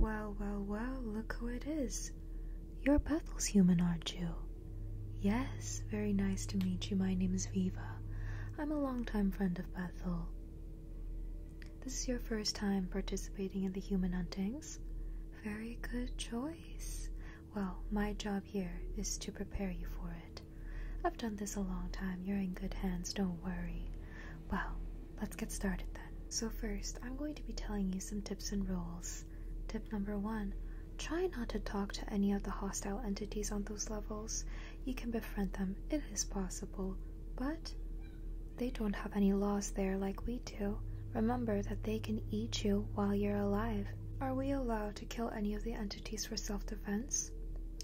Well, well, well, look who it is. You're Bethel's human, aren't you? Yes, very nice to meet you. My name is Viva. I'm a long-time friend of Bethel. This is your first time participating in the human huntings. Very good choice. Well, my job here is to prepare you for it. I've done this a long time. You're in good hands, don't worry. Well, let's get started then. So, first, I'm going to be telling you some tips and rules. Tip number one try not to talk to any of the hostile entities on those levels. You can befriend them, it is possible, but they don't have any laws there like we do. Remember that they can eat you while you're alive. Are we allowed to kill any of the entities for self defense?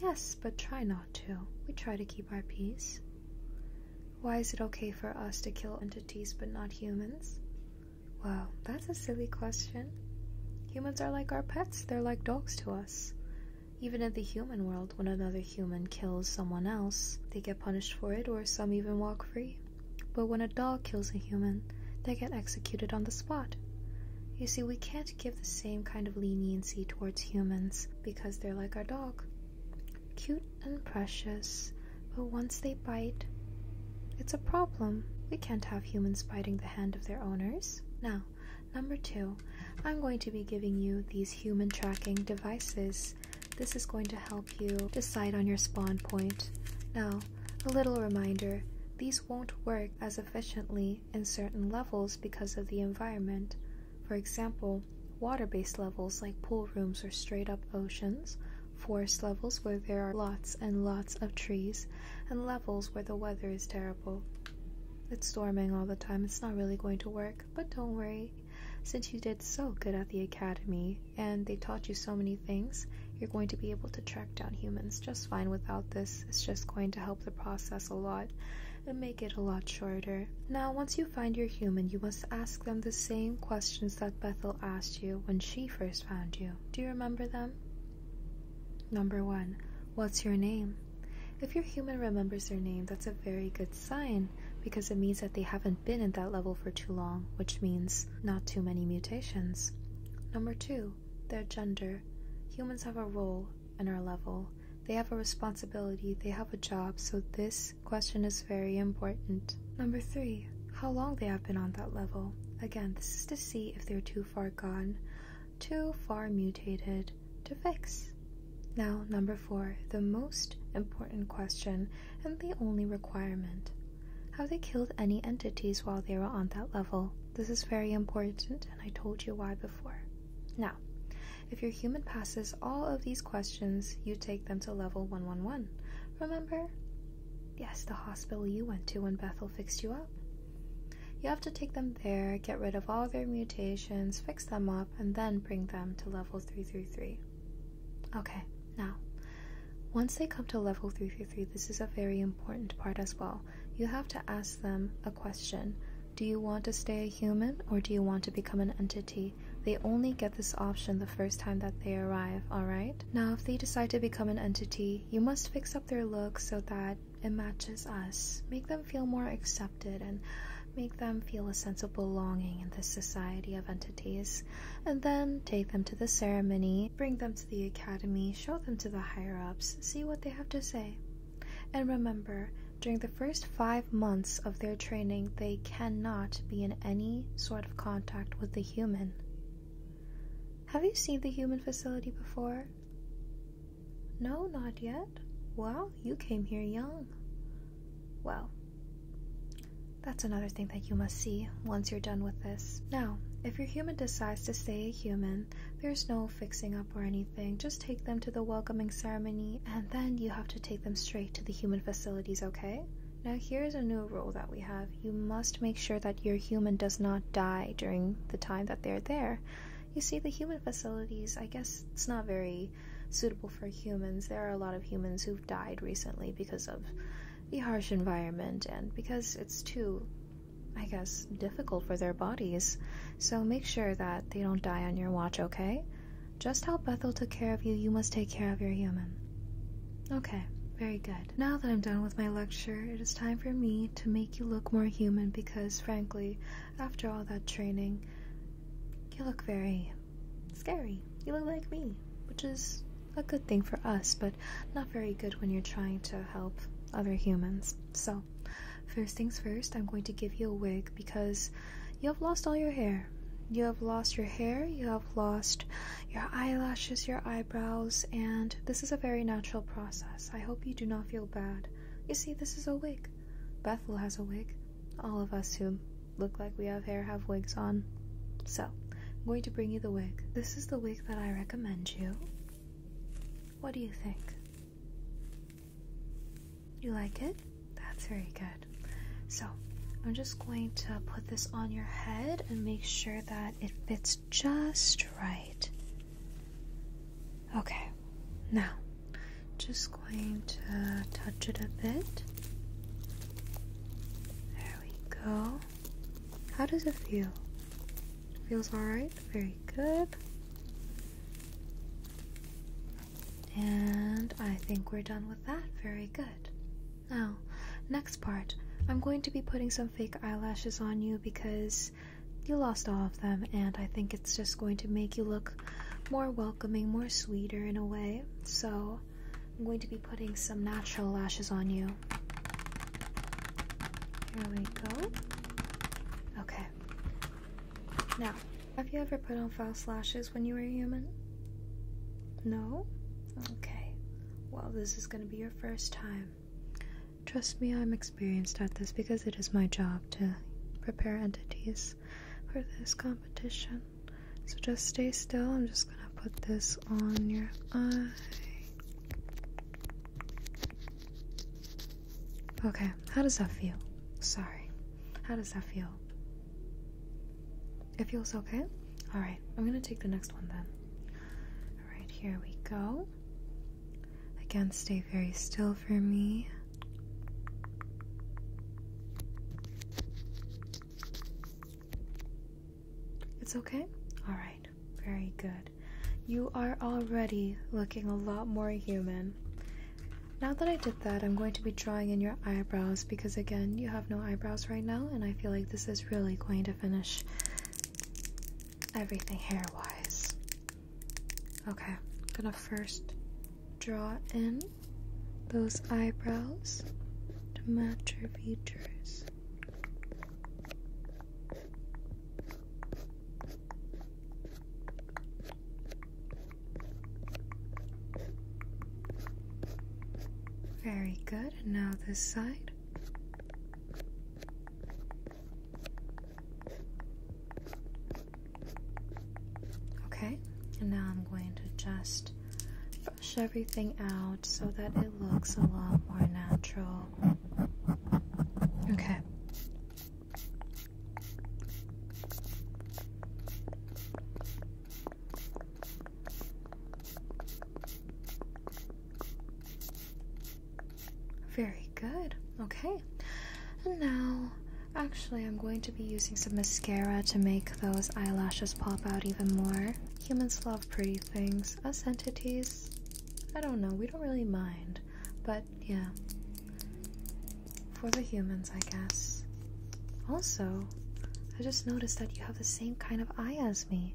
Yes, but try not to. We try to keep our peace. Why is it okay for us to kill entities but not humans? Well, that's a silly question. Humans are like our pets, they're like dogs to us. Even in the human world, when another human kills someone else, they get punished for it or some even walk free. But when a dog kills a human, they get executed on the spot. You see, we can't give the same kind of leniency towards humans because they're like our dog. Cute and precious, but once they bite, it's a problem. We can't have humans biting the hand of their owners. Now, Number two, I'm going to be giving you these human tracking devices. This is going to help you decide on your spawn point. Now, a little reminder, these won't work as efficiently in certain levels because of the environment. For example, water-based levels like pool rooms or straight-up oceans, forest levels where there are lots and lots of trees, and levels where the weather is terrible. It's storming all the time, it's not really going to work but don't worry. Since you did so good at the academy and they taught you so many things, you're going to be able to track down humans just fine without this. It's just going to help the process a lot and make it a lot shorter. Now, once you find your human, you must ask them the same questions that Bethel asked you when she first found you. Do you remember them? Number one, what's your name? If your human remembers their name, that's a very good sign because it means that they haven't been at that level for too long, which means not too many mutations. Number two, their gender. Humans have a role in our level. They have a responsibility, they have a job, so this question is very important. Number three, how long they have been on that level. Again, this is to see if they're too far gone too far mutated to fix. Now, number four, the most important question and the only requirement. Have they killed any entities while they were on that level? This is very important, and I told you why before. Now, if your human passes all of these questions, you take them to level 111. Remember? Yes, the hospital you went to when Bethel fixed you up. You have to take them there, get rid of all their mutations, fix them up, and then bring them to level 333. Okay, now, once they come to level 333, this is a very important part as well. You have to ask them a question Do you want to stay a human or do you want to become an entity? They only get this option the first time that they arrive, alright? Now, if they decide to become an entity, you must fix up their look so that it matches us, make them feel more accepted, and make them feel a sense of belonging in this society of entities, and then take them to the ceremony, bring them to the academy, show them to the higher ups, see what they have to say. And remember, during the first five months of their training, they cannot be in any sort of contact with the human. Have you seen the human facility before? No, not yet. Well, you came here young. Well, that's another thing that you must see once you're done with this. Now, if your human decides to stay a human, there's no fixing up or anything. Just take them to the welcoming ceremony, and then you have to take them straight to the human facilities, okay? Now, here's a new rule that we have you must make sure that your human does not die during the time that they're there. You see, the human facilities, I guess it's not very suitable for humans. There are a lot of humans who've died recently because of the harsh environment and because it's too, I guess, difficult for their bodies. So make sure that they don't die on your watch, okay? Just how Bethel took care of you, you must take care of your human. Okay, very good. Now that I'm done with my lecture, it is time for me to make you look more human because, frankly, after all that training, you look very scary. You look like me, which is a good thing for us, but not very good when you're trying to help other humans. So, first things first, I'm going to give you a wig because you have lost all your hair. You have lost your hair, you have lost your eyelashes, your eyebrows, and this is a very natural process. I hope you do not feel bad. You see, this is a wig. Bethel has a wig. All of us who look like we have hair have wigs on. So, I'm going to bring you the wig. This is the wig that I recommend you. What do you think? You like it? That's very good. So, I'm just going to put this on your head and make sure that it fits just right. Okay, now just going to touch it a bit. There we go. How does it feel? Feels alright? Very good. And I think we're done with that. Very good. Now, next part. I'm going to be putting some fake eyelashes on you because you lost all of them, and I think it's just going to make you look more welcoming, more sweeter in a way. So, I'm going to be putting some natural lashes on you. Here we go. Okay. Now, have you ever put on false lashes when you were human? No? Okay. Well, this is going to be your first time. Trust me, I'm experienced at this because it is my job to prepare entities for this competition. So just stay still. I'm just going to put this on your eye. Okay, how does that feel? Sorry. How does that feel? It feels okay? Alright, I'm gonna take the next one then. Alright, here we go. Again, stay very still for me. It's okay? Alright, very good. You are already looking a lot more human. Now that I did that, I'm going to be drawing in your eyebrows because, again, you have no eyebrows right now, and I feel like this is really going to finish everything hair wise. Okay, I'm gonna first draw in those eyebrows to match your features. Very good, now this side. Okay, and now I'm going to just brush everything out so that it looks a lot more natural. Okay. Very good. Okay. And now, actually, I'm going to be using some mascara to make those eyelashes pop out even more. Humans love pretty things. Us entities, I don't know, we don't really mind. But yeah. For the humans, I guess. Also, I just noticed that you have the same kind of eye as me.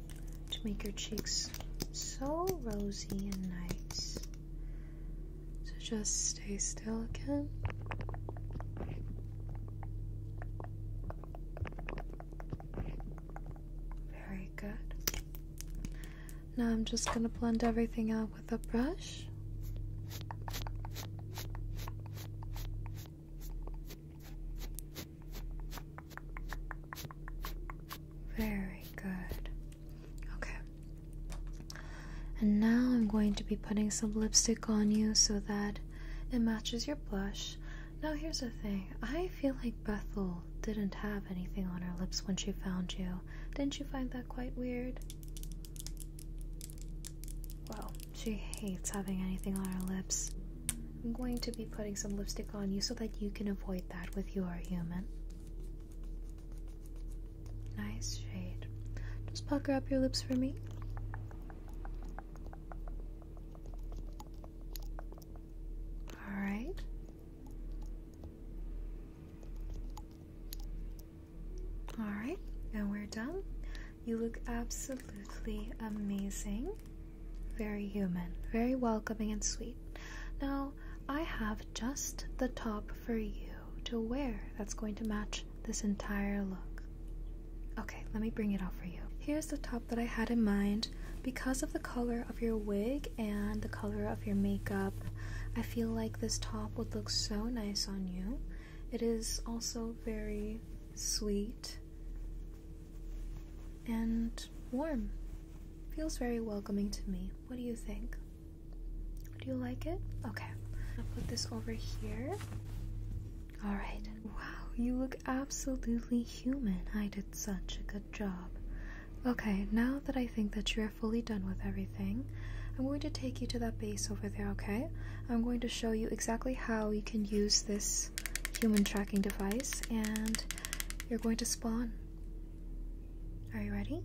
to make your cheeks so rosy and nice. So just stay still again. Very good. Now I'm just going to blend everything out with a brush. Very good. Okay. And now I'm going to be putting some lipstick on you so that it matches your blush. Now, here's the thing I feel like Bethel didn't have anything on her lips when she found you. Didn't you find that quite weird? Well, she hates having anything on her lips. I'm going to be putting some lipstick on you so that you can avoid that with your human. Nice shade. Just pucker up your lips for me. Alright. Alright, now we're done. You look absolutely amazing. Very human, very welcoming and sweet. Now, I have just the top for you to wear that's going to match this entire look. Okay, let me bring it out for you. Here's the top that I had in mind. Because of the color of your wig and the color of your makeup, I feel like this top would look so nice on you. It is also very sweet and warm. Feels very welcoming to me. What do you think? Do you like it? Okay. I'll put this over here. Alright. Wow, you look absolutely human. I did such a good job. Okay, now that I think that you're fully done with everything, I'm going to take you to that base over there, okay? I'm going to show you exactly how you can use this human tracking device and you're going to spawn. Are you ready?